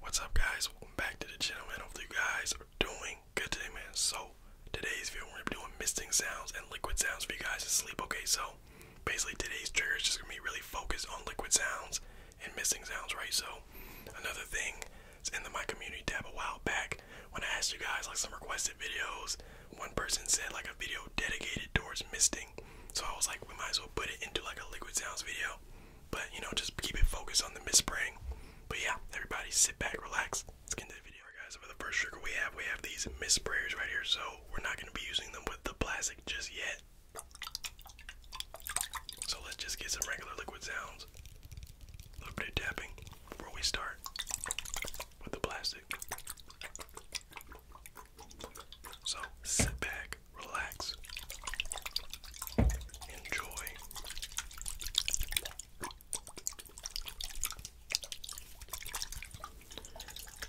What's up guys? Welcome back to the channel and hopefully you guys are doing good today man. So today's video we're doing misting sounds and liquid sounds for you guys to sleep. Okay, so basically today's trigger is just gonna be really focused on liquid sounds and missing sounds, right? So another thing is in the my community tab a while back when I asked you guys like some requested videos, one person said like a video dedicated towards misting. So I was like we might as well put it into like a liquid sounds video. But you know, just keep it focused on the mispraying. But yeah, everybody sit back, relax. Let's get into the video. guys, for the first trigger we have, we have these misprayers right here. So we're not gonna be using them with the plastic just yet. So let's just get some regular liquid sounds. A little bit of tapping before we start with the plastic. So sit back, relax, enjoy.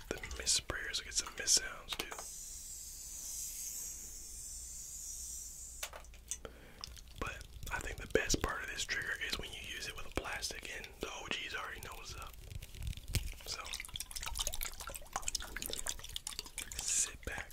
The miss get some miss too. But I think the best part of this trigger is when you use it with a plastic and the OGs already know up. So sit back,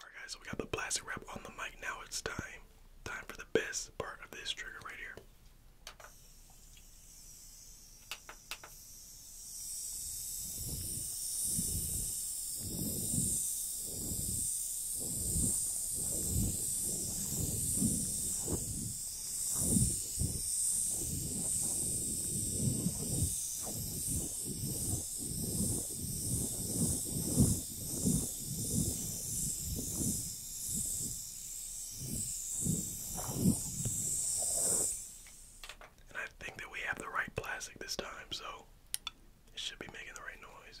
Alright guys, so we got the plastic wrap on the mic. Now it's time. Time for the best part of this trigger right here. And I think that we have the right plastic this time, so it should be making the right noise.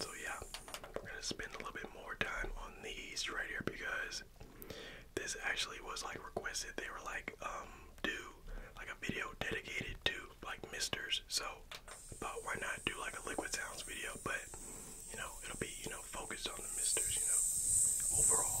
So yeah, we're gonna spend a little bit more time on these right here because this. actually was like requested. They were like, um, do like a video dedicated to like misters. So but why not do like a liquid sounds video, but you know, it'll be, you know, focused on the misters, you know, overall.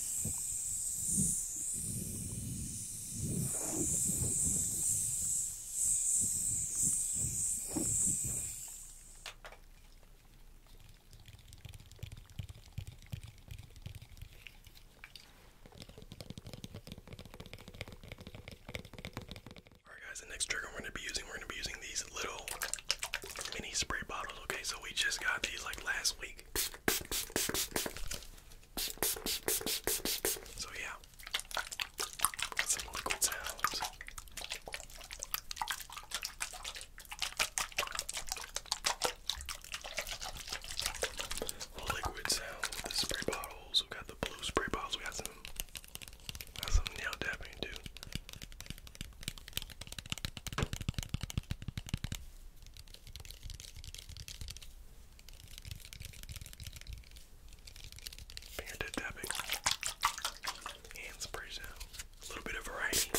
Alright guys, the next trigger we're going to be using, we're going to be using these little mini spray bottles. Okay, so we just got these like last week. So yeah, liquid sounds. Liquid sounds the spray bottles. We got the blue spray bottles. We got some, got some nail tapping too. Panda tapping. Hands spray A little bit of variety.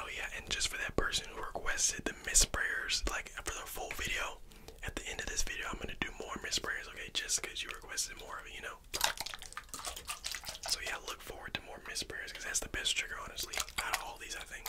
Oh yeah, and just for that person who requested the misprayers, like for the full video, at the end of this video, I'm gonna do more misprayers, okay? Just because you requested more of it, you know. So yeah, look forward to more misprayers because that's the best trigger, honestly, out of all these, I think.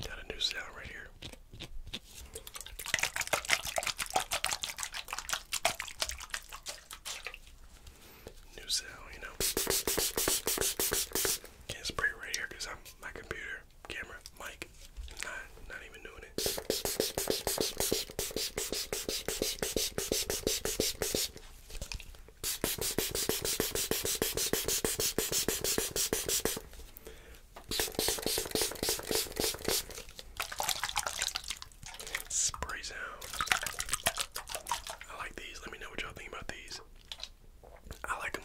Got a new sound right here. New sound, you know. Can't spray right here because I'm my computer, camera, mic like not not even doing it. Spray sound. I like these. Let me know what y'all think about these. I like them.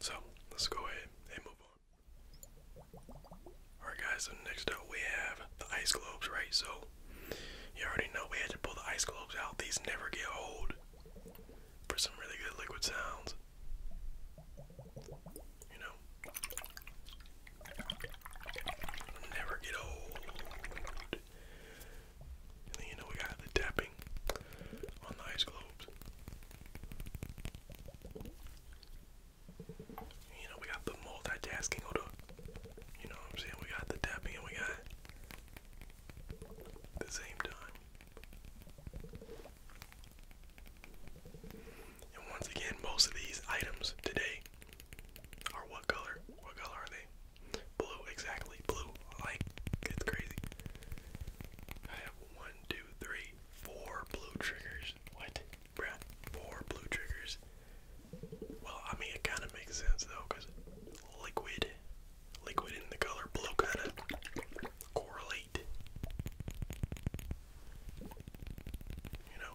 So let's go ahead and move on. Alright guys, so next up we have the ice globes, right? So you already know we had to pull the ice globes out. These never get old for some really good liquid sounds. You know? Never get old. And you know we got the tapping on the ice globes. you know we got the multitasking or the you know I'm saying? We got the tapping and we got the same time. And once again, most of these items today are what color? What color are they? Blue, exactly. Blue. Like, it's crazy. I have one, two, three, four blue triggers. What? Bruh, four blue triggers. Well, I mean, it kind of makes sense though, liquid, liquid in the color blue kind of correlate. You know?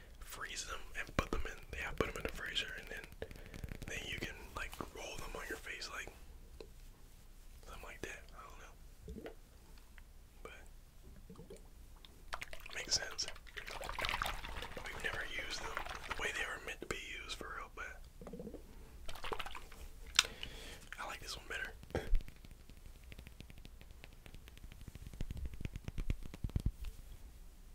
freeze them and put them in. Yeah, put them in the freezer, and then then you can like roll them on your face, like something like that. I don't know, but makes sense. We've never used them the way they were meant to be used for real, but I like this one better.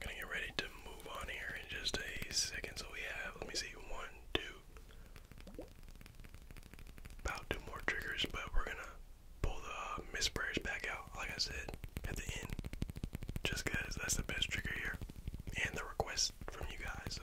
gonna get ready to move on here in just a second. So we have, let me see, one, two, about two more triggers, but we're gonna pull the uh, back out, like I said, at the end. Just that's the best trigger here. And the request from you guys, so.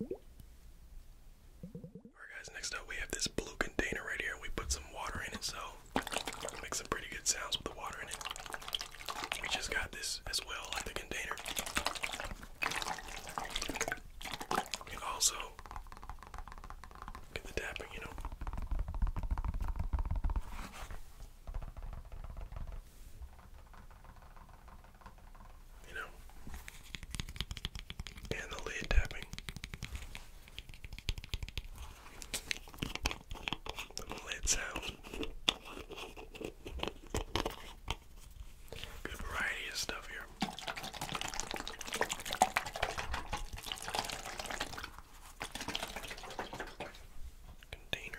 Alright guys, next up we have this blue container right here. We put some water in it, so it makes some pretty good sounds with the water in it. We just got this as well, like the container. also get the tapping, you know you know, and the lead tapping. The lead sound. Good variety of stuff here. Container.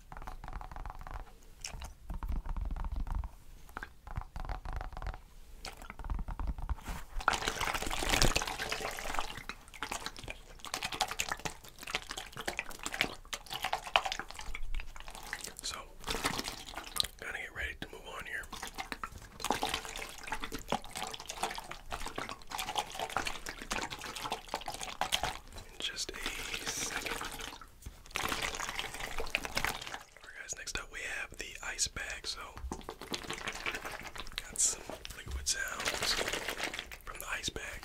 So, gotta get ready to move on here. In just a second. Alright guys, next up we have the ice bag. So got some liquid sounds from the ice bag.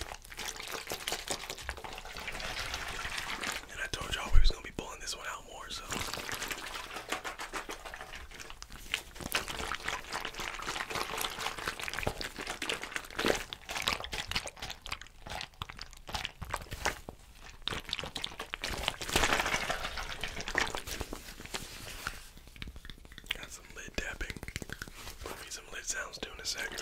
And I told y'all we was gonna be pulling this one out more, so Got some lid tapping. We'll be some lid sounds too in a second.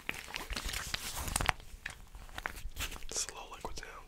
Slow liquid sound.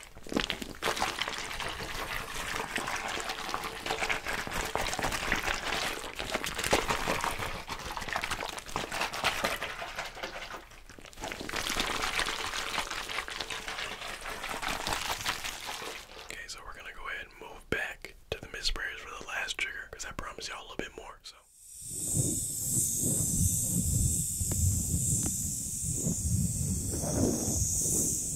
Okay, so we're gonna go ahead and move back to the misprayers for the last trigger, because I promised y'all a little bit more. So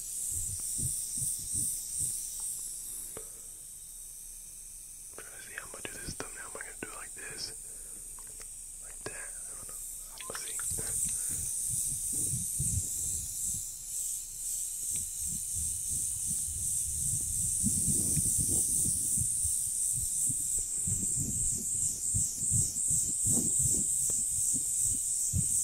I'm trying to see how I'm gonna do this thumbnail. Am I gonna do it like this? Like that? I don't know. Let's see.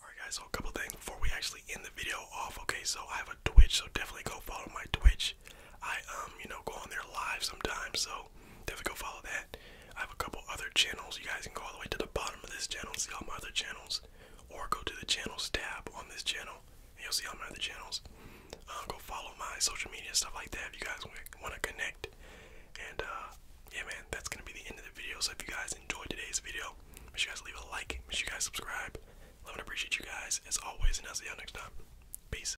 Alright guys, so a couple things before we actually end the video off. Okay, so I have a Twitch, so definitely go follow my Twitch. I um, you know, go on there live sometimes, so definitely go follow that. I have a couple other channels. You guys can go all the way to the bottom of this channel, and see all my other channels, or go to the channels tab on this channel, and you'll see all my other channels. Um, go follow my social media stuff like that if you guys want to connect. And uh, yeah, man, that's gonna be the end of the video. So if you guys enjoyed today's video, make sure you guys leave a like, make sure you guys subscribe. Love and appreciate you guys as always, and I'll see y'all next time. Peace.